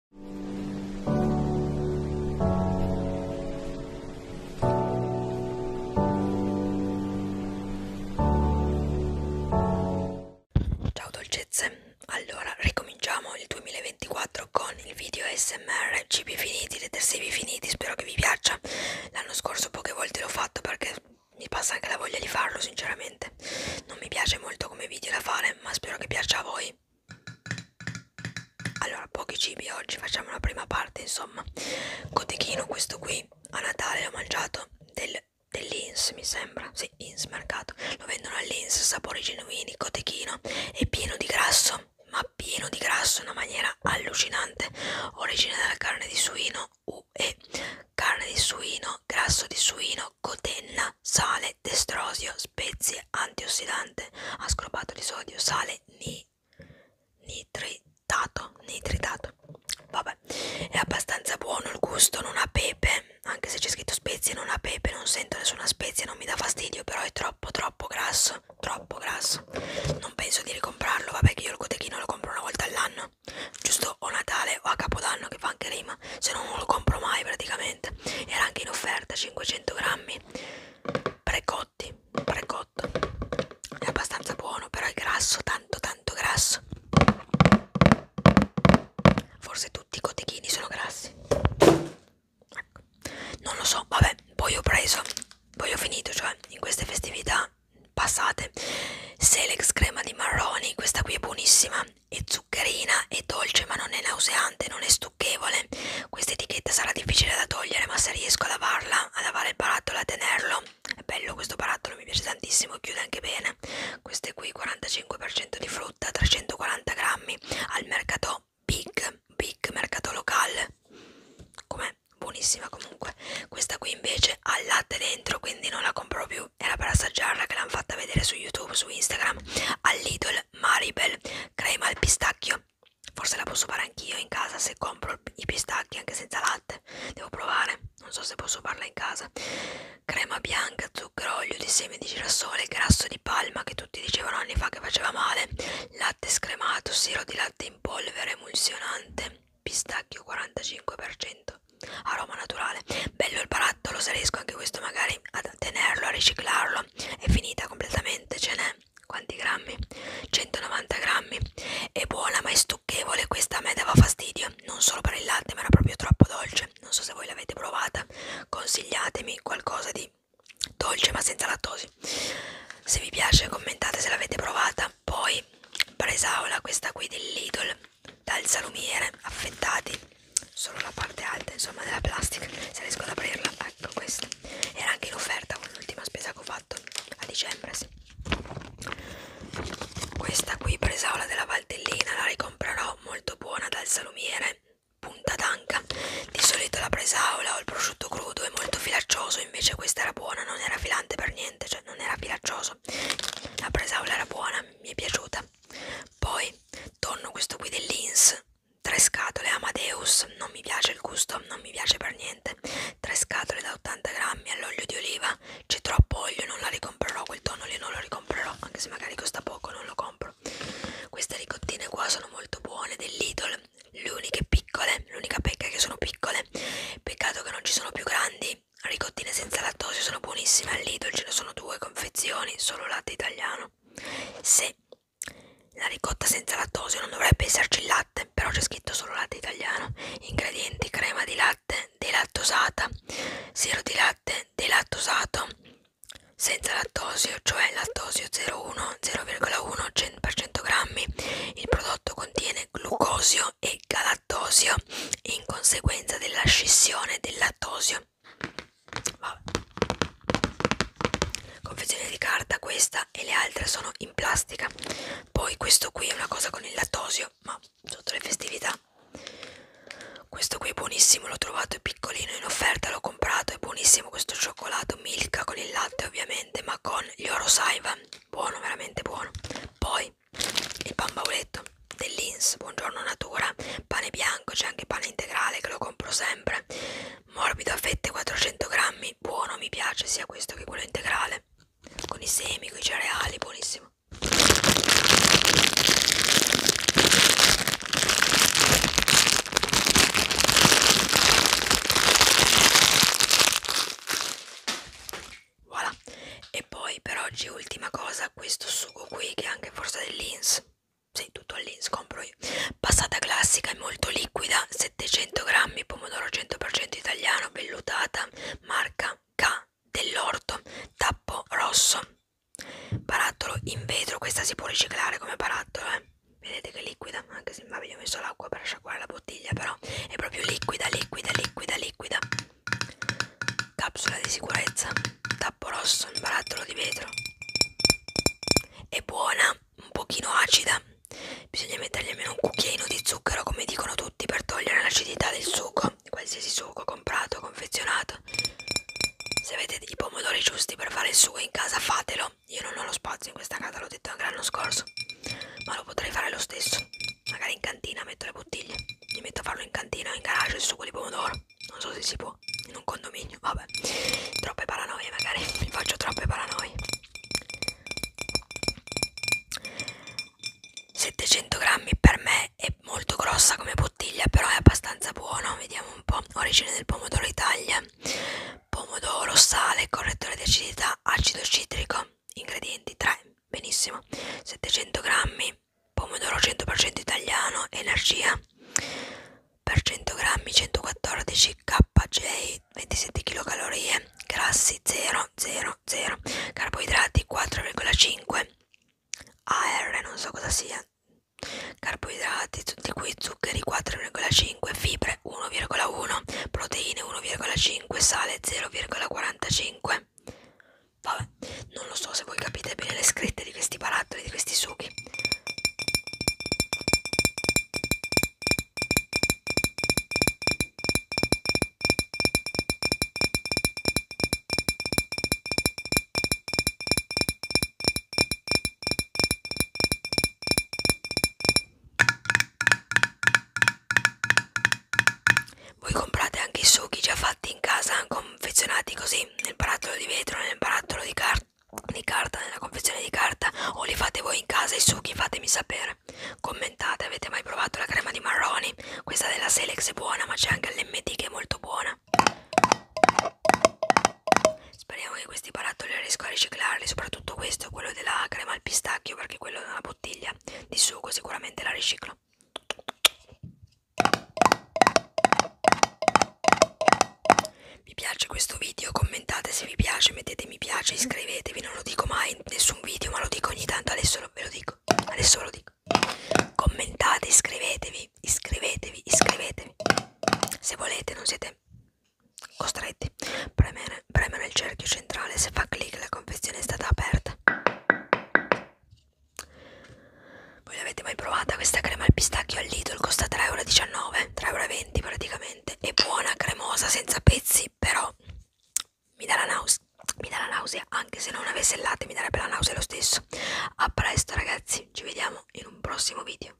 Ciao dolcezze, allora ricominciamo il 2024 con il video SMR cibi finiti, detersivi finiti, spero che vi piaccia. L'anno scorso poche volte l'ho fatto perché mi passa anche la voglia di farlo sinceramente. Non mi piace molto come video da fare, ma spero che piaccia a voi allora pochi cibi oggi facciamo la prima parte insomma cotechino questo qui a Natale l'ho mangiato del, dell'Ins mi sembra sì Ins mercato lo vendono all'Ins sapori genuini cotechino è pieno di grasso ma pieno di grasso in una maniera allucinante origine dalla carne di suino UE carne di suino grasso di suino cotenna sale destrosio spezie, antiossidante, ascorbato di sodio, sale, ni, nitritato, nitritato. Vabbè, è abbastanza buono il gusto, non ha pepe, anche se c'è scritto spezie non ha pepe, non sento nessuna spezia, non mi dà fastidio, però è troppo troppo grasso, troppo grasso. Non penso di ricomprarlo, vabbè che io il cotechino lo compro una volta all'anno, giusto o Natale o a Capodanno che fa anche rima, se non lo compro mai praticamente assolutamente era anche in offerta 500 grammi precotti precotto è abbastanza buono però è grasso tanto tanto grasso forse tutti i cotechini sono grassi ecco. non lo so vabbè poi ho preso poi ho finito cioè in queste festività passate Selex crema di marroni questa qui è buonissima è zuccherina, è dolce ma non è nauseante, non è stucchevole. Questa etichetta sarà difficile da togliere, ma se riesco a lavarla, a lavare il barattolo e a tenerlo, è bello questo barattolo, mi piace tantissimo, chiude anche bene. Queste qui 45% di frutta, 340 grammi, al mercato Big, Big mercato locale. Com'è? Buonissima comunque. Questa qui invece ha latte dentro, quindi non la compro più era per assaggiarla che l'hanno fatta vedere su YouTube, su Instagram, all'Idol Maribel crema al pistacchio. Forse la posso fare anch'io in casa se compro i pistacchi anche senza latte. Devo provare, non so se posso farla in casa. Crema bianca, zucchero, olio di semi di girasole, grasso di palma che tutti dicevano anni fa che faceva male, latte scremato, siro di latte in polvere, emulsionante, pistacchio 45% aroma naturale bello il barattolo se riesco anche questo magari a tenerlo a riciclarlo è finita completamente ce n'è quanti grammi 190 grammi è buona ma è stucchevole questa a me dava fastidio non solo per il latte ma era proprio troppo dolce non so se voi l'avete provata consigliatemi qualcosa di dolce ma senza lattosi se vi piace commentate se l'avete provata poi presaola questa qui dell'idol dal salumiere affettati solo la parte alta insomma della plastica se riesco ad aprirla ecco questa era anche in offerta con l'ultima spesa che ho fatto a dicembre sì. questa qui presaola della Valtellina la ricomprerò molto buona dal salumiere punta d'anca di solito la presaola o il prosciutto crudo è molto filaccioso invece questa era buona non era filante per niente cioè non era filaccioso la presaola era buona mi è piaciuta. Poi torno questo qui dell'Ins, 3 scatole Amadeus, non mi piace il gusto, non mi piace per niente. 3 scatole da 80 grammi all'olio di oliva, c'è troppo olio, non la ricomprerò, quel tonno lì non lo ricomprerò, anche se magari costa poco, non lo compro. Queste ricottine qua sono molto buone dell'Idol, le uniche piccole, l'unica pecca è che sono piccole, peccato che non ci sono più grandi ricottine senza lattosio sono buonissime all'idol, ce ne sono due confezioni, solo latte italiano. Se la ricotta senza lattosio non dovrebbe esserci il latte, però c'è scritto solo latte italiano. Ingredienti: crema di latte delattosata, siero di latte delattosato senza lattosio, cioè lattosio 0,1 0,1 100 grammi. Il prodotto contiene glucosio Lattosio e Galattosio in conseguenza della scissione del Lattosio. Vabbè. Confezione di carta questa e le altre sono in plastica. Poi questo qui è una cosa con il Lattosio, ma sotto le festività. Questo qui è buonissimo, l'ho trovato è piccolino in offerta, l'ho comprato, è buonissimo questo cioccolato Milka con il latte ovviamente, ma con gli Oro Saiva, buono, veramente buono. Poi poi il pan bauletto dell'Ins, buongiorno natura, pane bianco, c'è anche pane integrale che lo compro sempre, morbido a fette 400 grammi, buono, mi piace sia questo che quello integrale, con i semi, con i cereali, buonissimo voilà. e poi per oggi ultima cosa questo sugo qui che è anche forse dell'ins sì, tutto all'ins compro io passata classica è molto liquida 700 grammi pomodoro 100% italiano vellutata marca K dell'orto tappo rosso barattolo in vetro questa si può riciclare come barattolo eh? vedete che liquida anche se Vabbè, io ho messo l'acqua per asciugare la bottiglia, però è proprio liquida, liquida, liquida, liquida. Capsula di sicurezza, tappo rosso, un barattolo di vetro. È buona, un pochino acida. Bisogna mettergli almeno un cucchiaino di zucchero, come dicono tutti, per togliere l'acidità del succo. Qualsiasi succo comprato, confezionato. Se avete i pomodori giusti per fare il sugo in casa, fatelo. Io non ho lo spazio in questa casa, l'ho detto anche l'anno scorso diverso. Ma lo potrei fare lo stesso. Magari in cantina metto le bottiglie. Mi metto a farlo in cantina o in garage il succo di pomodoro. Non so se si può. In un condominio. Vabbè. Troppe paranoie magari. Mi faccio troppe paranoie. 700 grammi per me è molto grossa come bottiglia, però è abbastanza buono. Vediamo un po'. Origine del pomodoro Italia pomodoro, sale, correttore di acidità, acido citrico. Ingredienti 3, benissimo. 700 grammi, pomodoro 100% italiano, energia per 100 grammi 114 kJ, 27 kcal, grassi 0, 0, 0, carboidrati 4,5 AR, non so cosa sia. Carboidrati, tutti qui zuccheri 4,5, fibre zucchero 1,1 proteine 1,5 sale 0,45 vabbè non lo so se voi capite bene le scritte di questi barattoli di questi succhi voi comprate anche i succhi già fatti in casa, confezionati così, nel barattolo di vetro, nel barattolo di, car di carta, nella confezione di carta, o li fate voi in casa i succhi, fatemi sapere. Commentate, avete mai provato la crema di marroni? Questa della Selex è buona, ma c'è anche l'MT che è molto buona. Speriamo che questi barattoli riesco a riciclarli, soprattutto questo, quello della crema al pistacchio, perché quello della bottiglia di sugo sicuramente la riciclo. Mi piace questo video, commentate se vi piace, mettete mi piace, iscrivetevi, non lo dico mai in nessun video, ma lo dico ogni tanto, adesso lo, ve lo dico, adesso lo dico. Commentate, iscrivetevi, iscrivetevi, iscrivetevi. Se volete, non siete Costretti. Premere, premere il cerchio centrale. Se fa clic, la confezione è stata aperta. Voi l'avete mai provata questa crema al pistacchio al Lidl? Costa 3,19 euro, 3,20 praticamente. È buona, cremosa, senza pezzi, però mi dà la nausea. Mi dà la nausea, anche se non avesse il latte mi darebbe la nausea lo stesso. A presto ragazzi, ci vediamo in un prossimo video.